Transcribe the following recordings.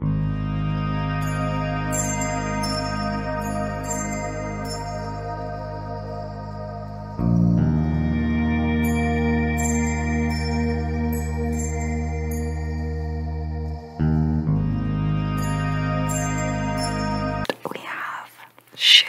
We have shoe.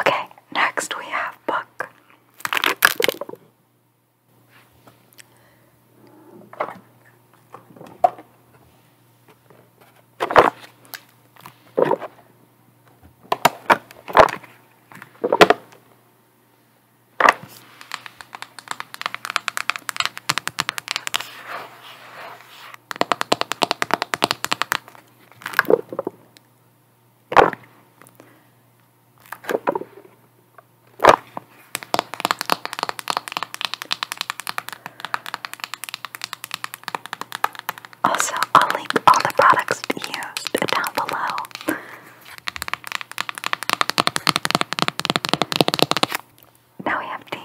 Okay, next we have book. Also, I'll link all the products used down below now we have tape.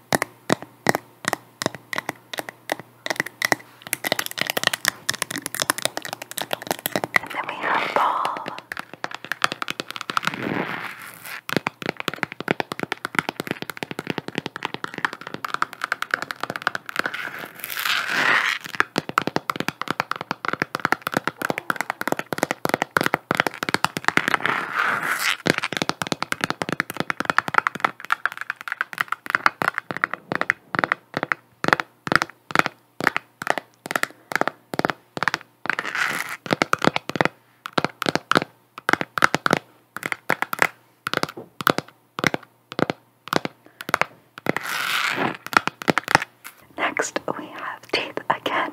And then we have ball. Next, we have teeth again.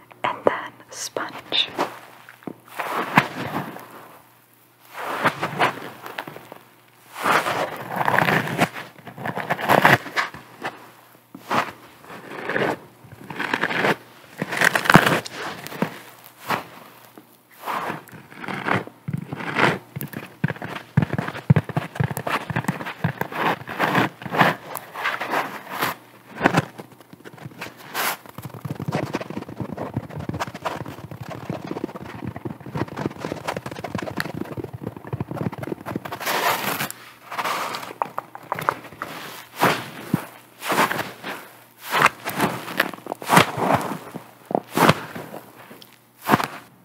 and then sponge.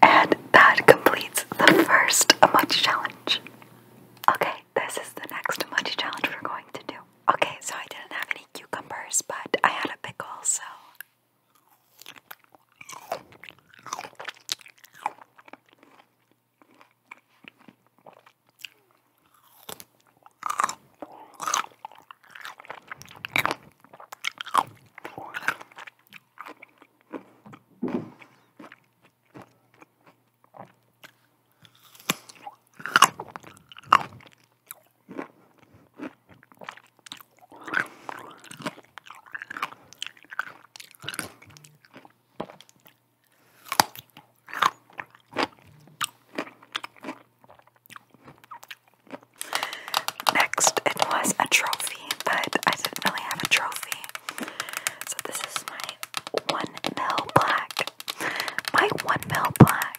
And that completes the first Munchy Challenge. Okay, this is the next Munchy Challenge we're going to do. Okay, so I didn't have any cucumbers, but I had a pickle, so. Next, it was a trophy, but I didn't really have a trophy. So, this is my 1 mil black my one mil black.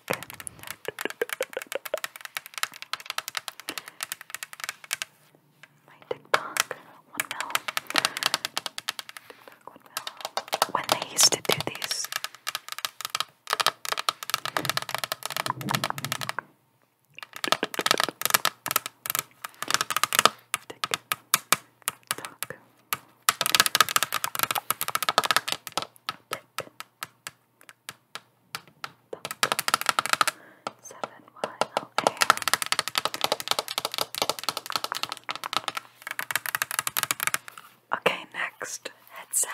My TikTok one mil. TikTok one mil. When they used to do these. TikTok. Seven Y L A. Okay, next headset.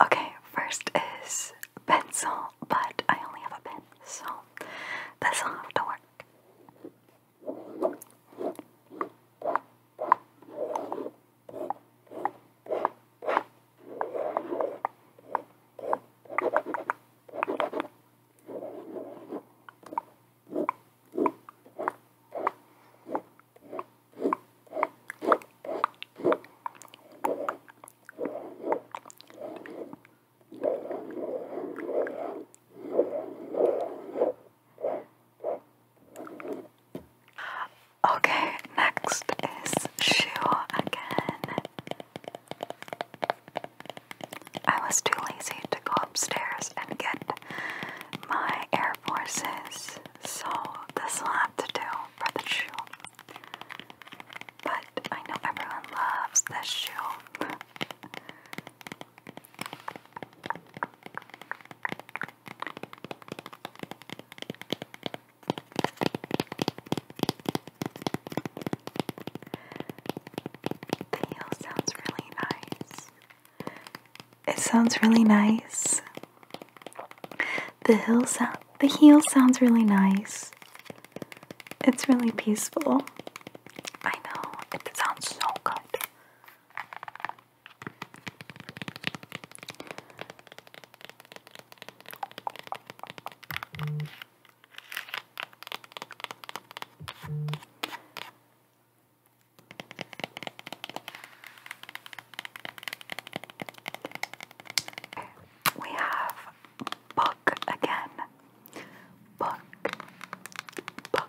Okay, first is pencil, but I only have a pen, so this'll have to work. Okay, next is shoe again. I was too lazy to go upstairs and get my Air Forces, so this will have to do for the shoe but I know everyone loves this shoe. The heel sounds really nice. It sounds really nice. The heel sound the heel sounds really nice. It's really peaceful. I know, it sounds so good. We have book again. Book, book.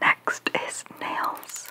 Next is nails.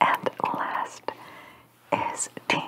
And last is deep.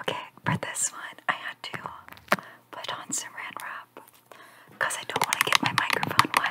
Okay, for this one, I had to put on some ran wrap because I don't want to get my microphone wet.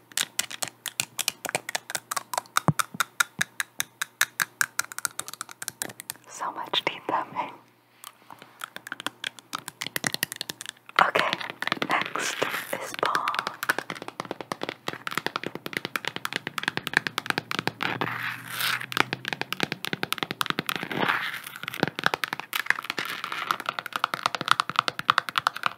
So much teeth that Okay, next is Paul.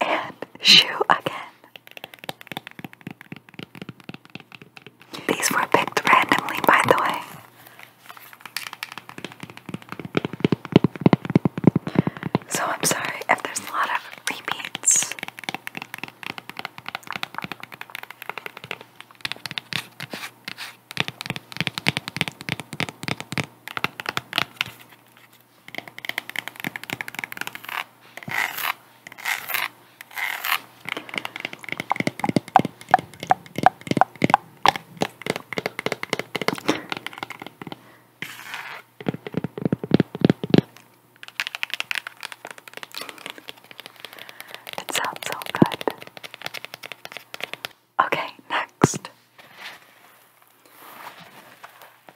and shoe again. These were picked randomly, by the way. So I'm sorry if there's a lot of repeats. It sounds so good. Okay, next.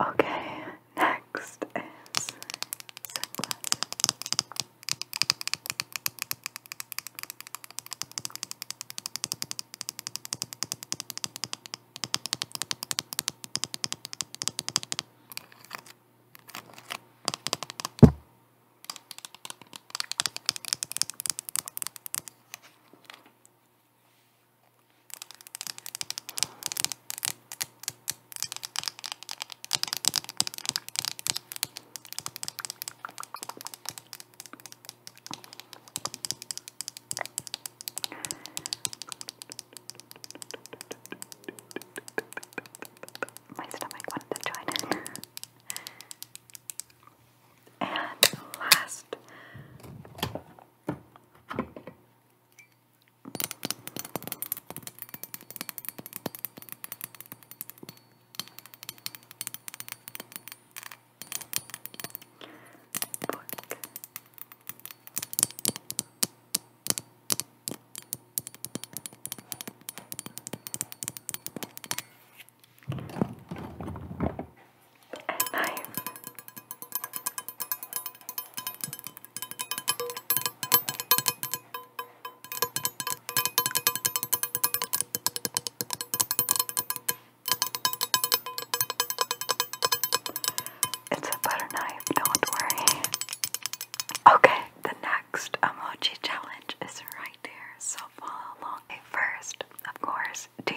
Okay, next is sunglasses. My stomach wanted to join in. And last, and knife. It's a butter knife, don't worry. Okay, the next emoji challenge is right here, so follow along. Okay, first, of course, deep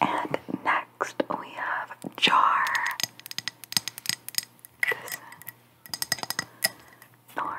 And next we have Jar. This Nora.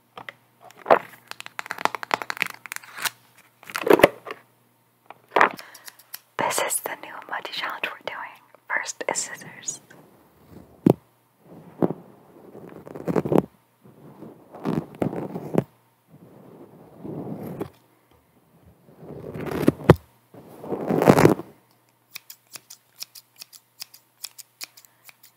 This is the new muddy challenge we're doing. First is scissors.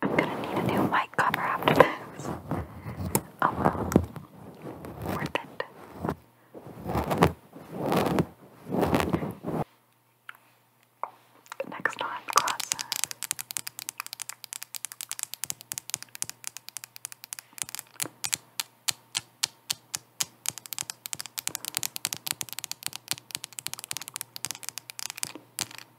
I'm gonna need a new mic cover after this. Oh well. Worth it. Next on classes.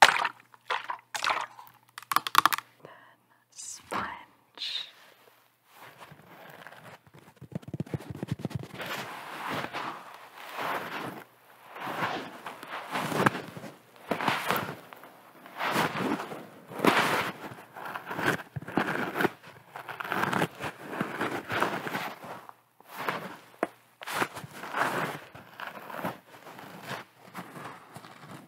Then sponge and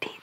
deep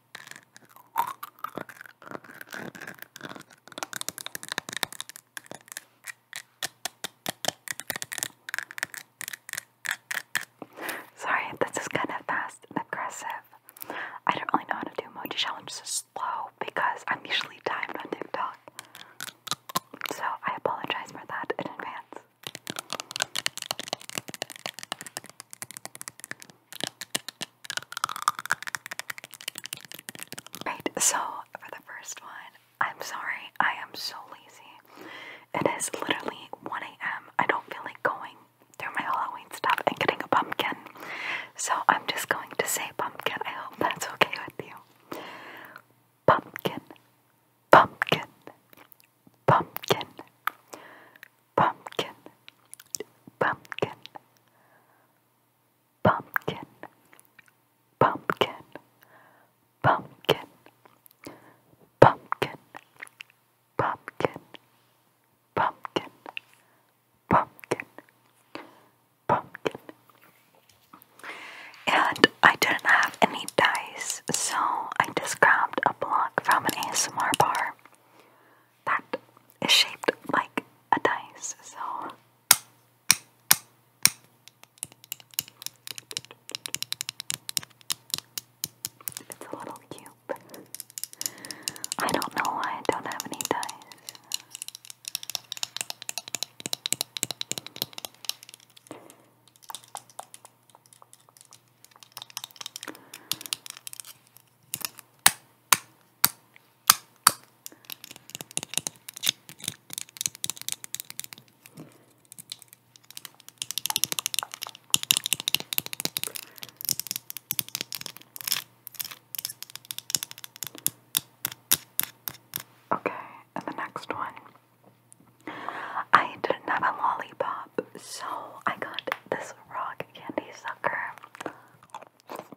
Sorry this is kind of fast and aggressive. I don't really know how to do emoji challenges slow because I'm usually timed on TikTok. So I apologize for that in advance. Right, so for the first one, I'm sorry, I am so lazy. It is literally 1 a.m. I don't feel like going through my Halloween stuff and getting a pumpkin. So I'm just going to say pumpkin. I hope that's okay with you. Pumpkin, pumpkin, pumpkin, pumpkin, pumpkin, pumpkin, pumpkin, pumpkin, pumpkin, pumpkin, pumpkin, pumpkin, pumpkin. And I didn't have any dice, so I just grabbed a block from an ASMR bar that is shaped like a dice, so. It's a little cube. I don't know why I don't have any dice. Okay, and the next one. I didn't have a lollipop, so I got this rock candy sucker.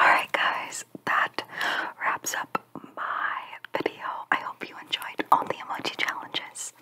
Alright guys, that wraps up my video. I hope you enjoyed all the emoji challenges.